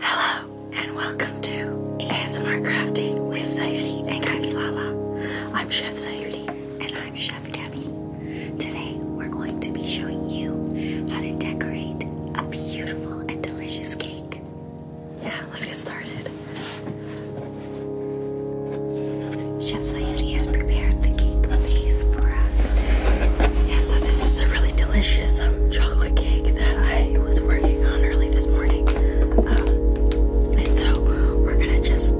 Hello and welcome to ASMR Crafting with Sayuri and Gabby Lala. I'm Chef Sayuri and I'm Chef Gabby. Today we're going to be showing you how to decorate a beautiful and delicious cake. Yeah, let's get started. Chef Sayuri has prepared the cake base for us. Yeah, so this is a really delicious um, chocolate cake that I was working on early this morning. Um, and so we're gonna just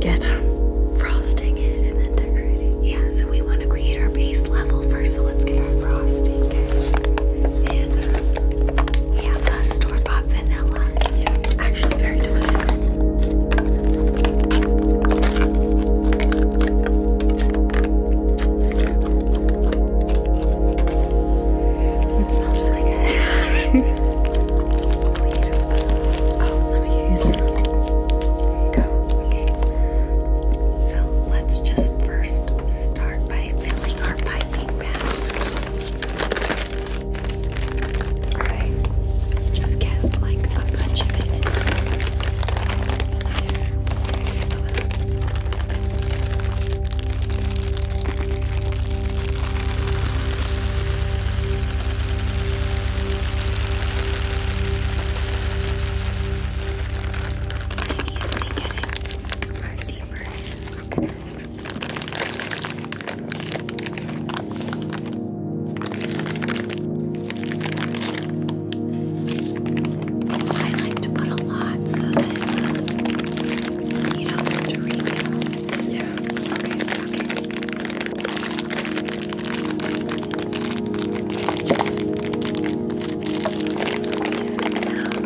get um, frosting it and then decorate Yeah, so we want to create our base level first, so let's get our frosting. And uh, um, yeah, the store bought vanilla. Yeah, actually, very delicious. It smells so good. oh, let me use your There you go. Okay. So let's just first start by filling our piping bags. Alright. Just get like a bunch of it easily getting my zipper in. I like to put a lot so that uh, you don't have to read Yeah. Okay, just squeeze it down.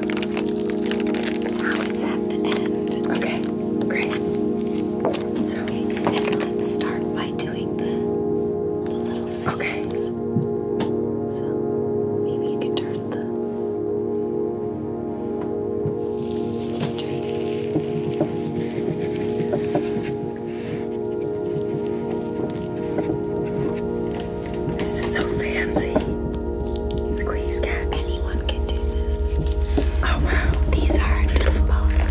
Now it's at the end. Okay, great. So, and let's start by doing the, the little those okay. So maybe you can turn the. Turn. This is so fancy. Squeeze cat. Anyone can do this. Oh wow. These are disposable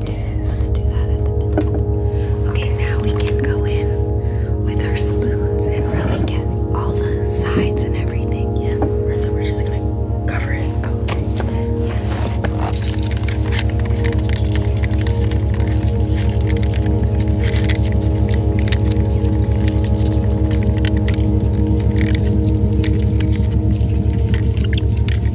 Okay, now we can go in with our spoons and really get all the sides and everything. Yeah. So we're just gonna cover his mouth. Okay,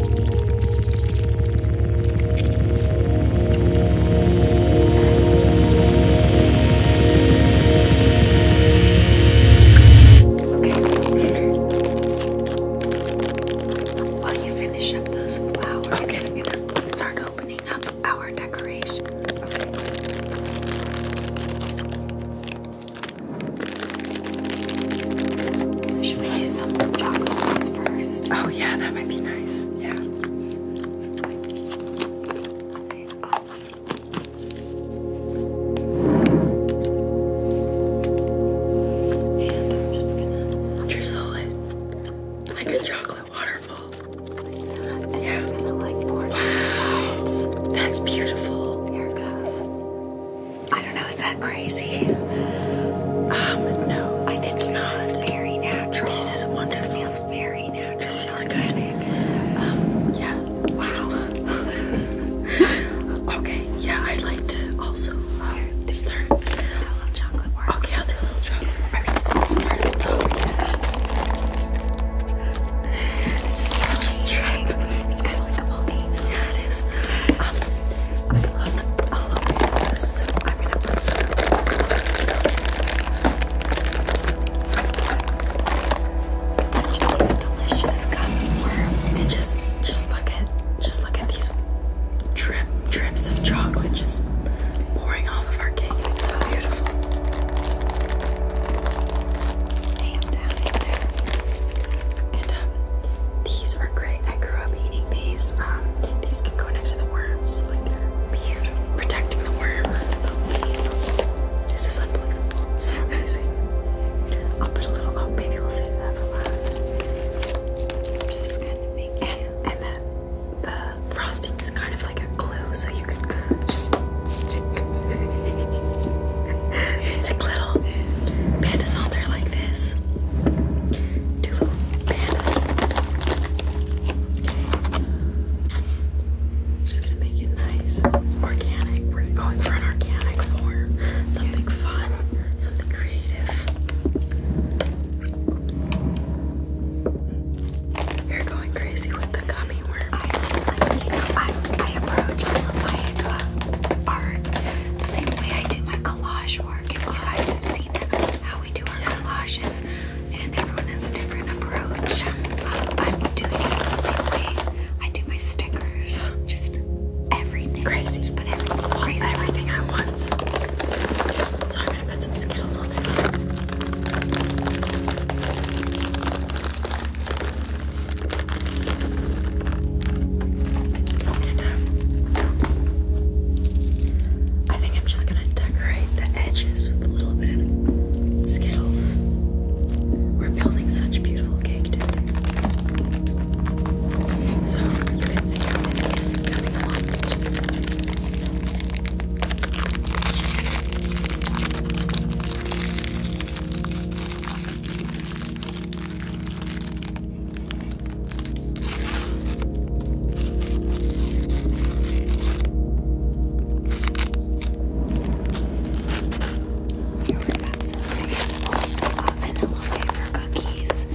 While you finish up those flowers, okay. I'm gonna start opening up our decorations. Should we do some, some chocolate sauce first? Oh yeah, that might be nice. Yeah. drizzle it like a chocolate waterfall. yeah. it's gonna like pour down the sides. That's beautiful. Here it goes. I don't know, is that crazy? Um, no. I think this not. is very natural. This is one. This feels very natural. This feels Good. Um, yeah. Wow. okay, yeah, I'd like to also um, do start. Do chocolate work. Okay, I'll do a little chocolate I just want to start at It's kind of like a volcano. Here it is. I love all of these, so I'm gonna These delicious gumworms. And just, just look at, just look at these drip, drips of chocolate just pouring off of our cake. It's so beautiful. down And um, these are great. I grew up eating these. Um, these can go next to the worms. Like they're beautiful. Protecting the worms. This is unbelievable. So amazing. I'll put a little. Oh, maybe we'll save that for last. I'm just gonna make it. And the frosting is kind of like a glue, so you can just stick. Stick little pandas on there like this. Just gonna make it nice. Organic. We're going for an organic form. Something fun. Something creative. You're going crazy with the gummy worms. I, I, I approach my art same way I do my collage work. If you guys have seen how we do our collages, and everyone has a different approach. Um, I'm doing this the same way I do my stickers. Just everything. Crazy. But everything. Crazy. Everything at once. So I'm gonna put some Skittles on it. I think I'm just gonna decorate the edges with a little bit of Skittles. We're building such beautiful cake today. So you can see how this coming along. just here we've got some vegetable vanilla flavor cookies.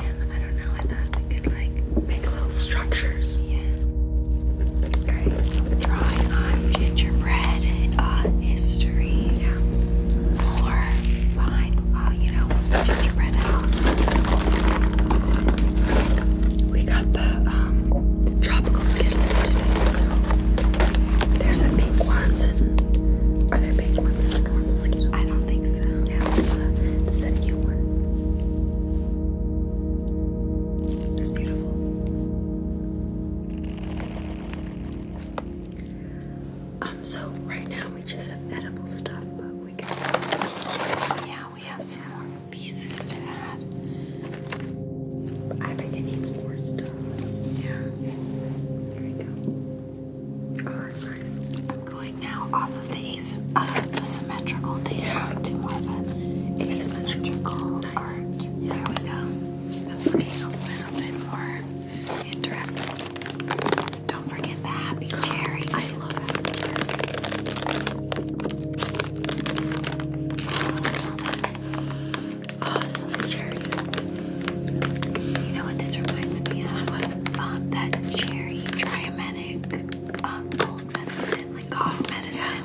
And I don't know, I thought we could like make little structures. Yeah. Okay. Drawing on gingerbread. Uh, history yeah. Uh, or you know, gingerbread house. We got the um, tropical skittles today, so there's a pink ones are there pink ones and normal skittles? I don't think so. Yeah, this, It's beautiful. Um, so right now we just have edible stuff, but we got yeah, we have some more pieces to add. I think it needs more stuff. Yeah. There we go. Oh, that's nice. I'm going now off of the ace yeah. to more asymmetrical art. Yeah. we go. That's looking a little bit more Interesting. Don't forget the happy cherry. I love cherries. Oh, it smells like cherries. You know what this reminds me of? Um, that cherry triaminic um, cold medicine, like cough medicine.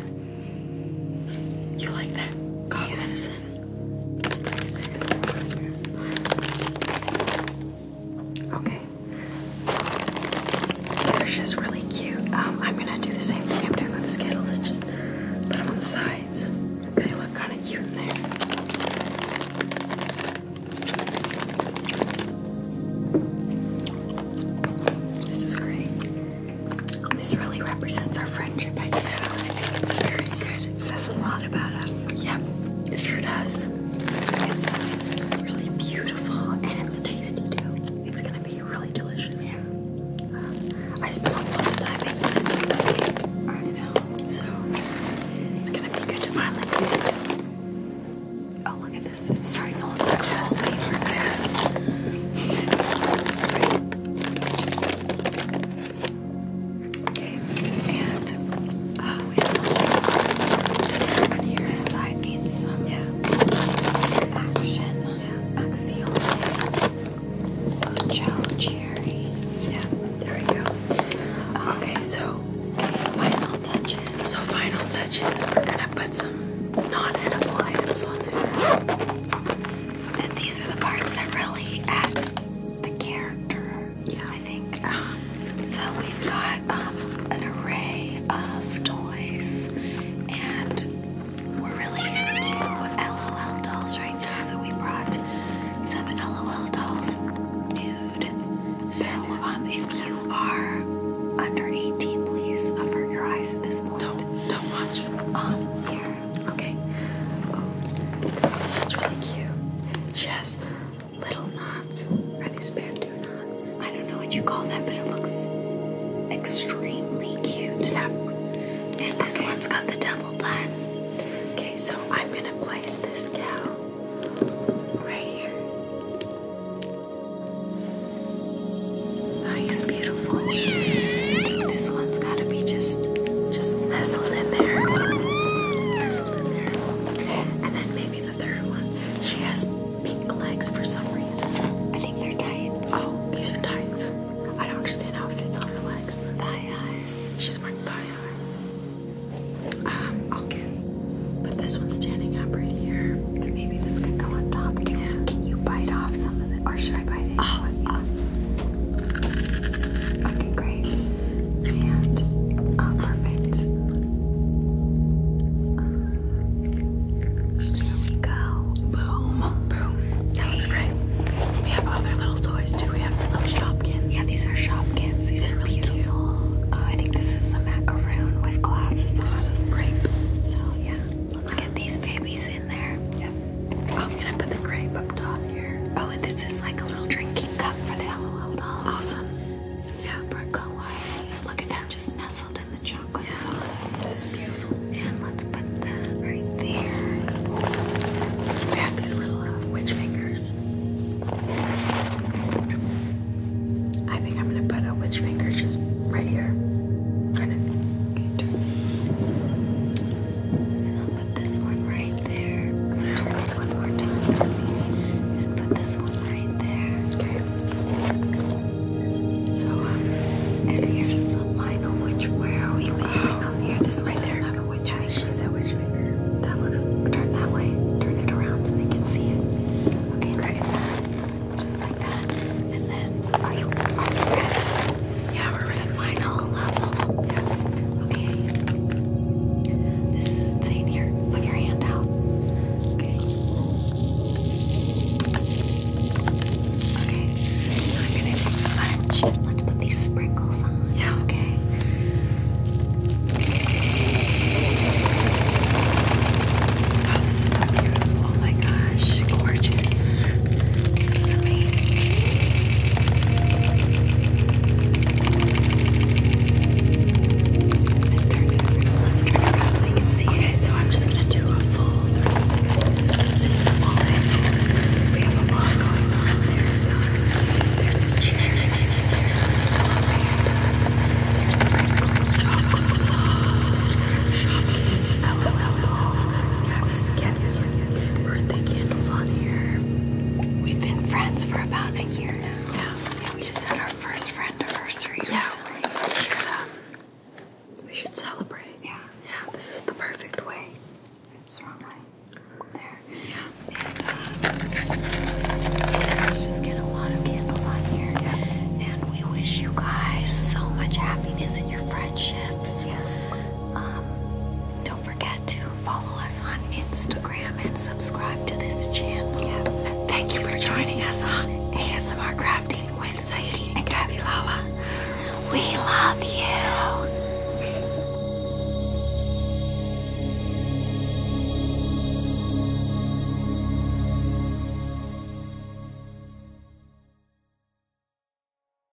Yeah. You like that? Cough medicine okay. These are just really cute. Um, I'm gonna do the same thing I'm doing with the Skittles and just put them on the sides because they look kind of cute in there. This is great. This really represents our friendship. I think, I think it's pretty good. It says a lot about us. Yep, it sure does. It's uh, really beautiful and it's tasty too. It's gonna be really delicious. Uh, I spent a lot of time making it, you know, so it's gonna be good to finally taste it. Oh, look at this. It's starting to look like yes. paper. Yes. Okay, and uh, we have here. This side needs yeah. action. Axial gel cherries. Yeah, there we go. okay, so final touches. So final touches. We're gonna put some non-edible items on there. And these are the parts that really add the character. Yeah, I think. so we've got um, an array of toys, and we're really into LOL dolls right now. So we brought some LOL dolls nude. So um, if you are under 18, please avert your eyes at this point. Don't don't watch. Um, here. Okay. Oh, this one's really cute. She has little knots. Are these bandeau knots? I don't know what you call them, but it looks extremely cute. Yeah. And this one's got the double bun. Okay, so I'm gonna place this cow right here. Nice, beautiful. this one's gotta be just just nestled in there. And then maybe the third one. She has pink legs for some reason. I think they're tights. Oh, these are tights. I don't understand how it fits on her legs. But thigh highs. She's wearing thigh highs. Um, okay. But this one's standing up right here. And maybe this could go on top. can you bite off some of or should I bite it? Oh, Okay, great. And oh, perfect. Um, there we go. Boom. Boom. That looks great. We have other little toys too. We have little Shopkins. Yeah, these are Shopkins. These are really beautiful. Cute. Uh, I think this is a macaroon with glasses this This is a grape. So yeah, let's get these babies Oh, I'm gonna put the grape up top here. Oh, and this is like a little drinking cup for the LOL dolls. Awesome. Super cool. Look at that, just nestled in the chocolate sauce. This is beautiful. And let's put that right there. We have these little uh, witch fingers. I think I'm gonna put a witch finger just right here. Kind of put this one right there. Turn it one more time and put this one right there. Okay. So, um, and here's the final. Which where are we facing up here? This way there. which way? which way? That looks. Turn that way. Turn it around so they can see it. Okay, look Just like that. And then, are you ready? Yeah, we're at the final level. Okay. This is insane here. Put your hand out. Okay. I'm gonna take sponge. Let's put these sprinkles on. Yeah, okay. Oh my gosh, gorgeous this. This is amazing. And turn it around. Let's get it around so you can see it. Okay, so I'm just gonna do a full 360 so you can see from all angles. We have a lot going on. There's a, there's some chairs, there's some salamanders, there's sprinkles, chocolates, shopping, LOL balls, cabbage, cabbage, birthday candles on here. We've been friends for about a year now. Yeah. we just had our first friend anniversary yeah, uh, We should, celebrate. Yeah. Yeah, this is the perfect way. There. Yeah. Uh, let's just get a lot of candles on here. And we wish you guys so much happiness in your friendships. Yes. Um, don't forget to follow us on Instagram and subscribe to this channel. Thank you for joining us on ASMR Crafting with Sadie and Gabby Lala. We love you.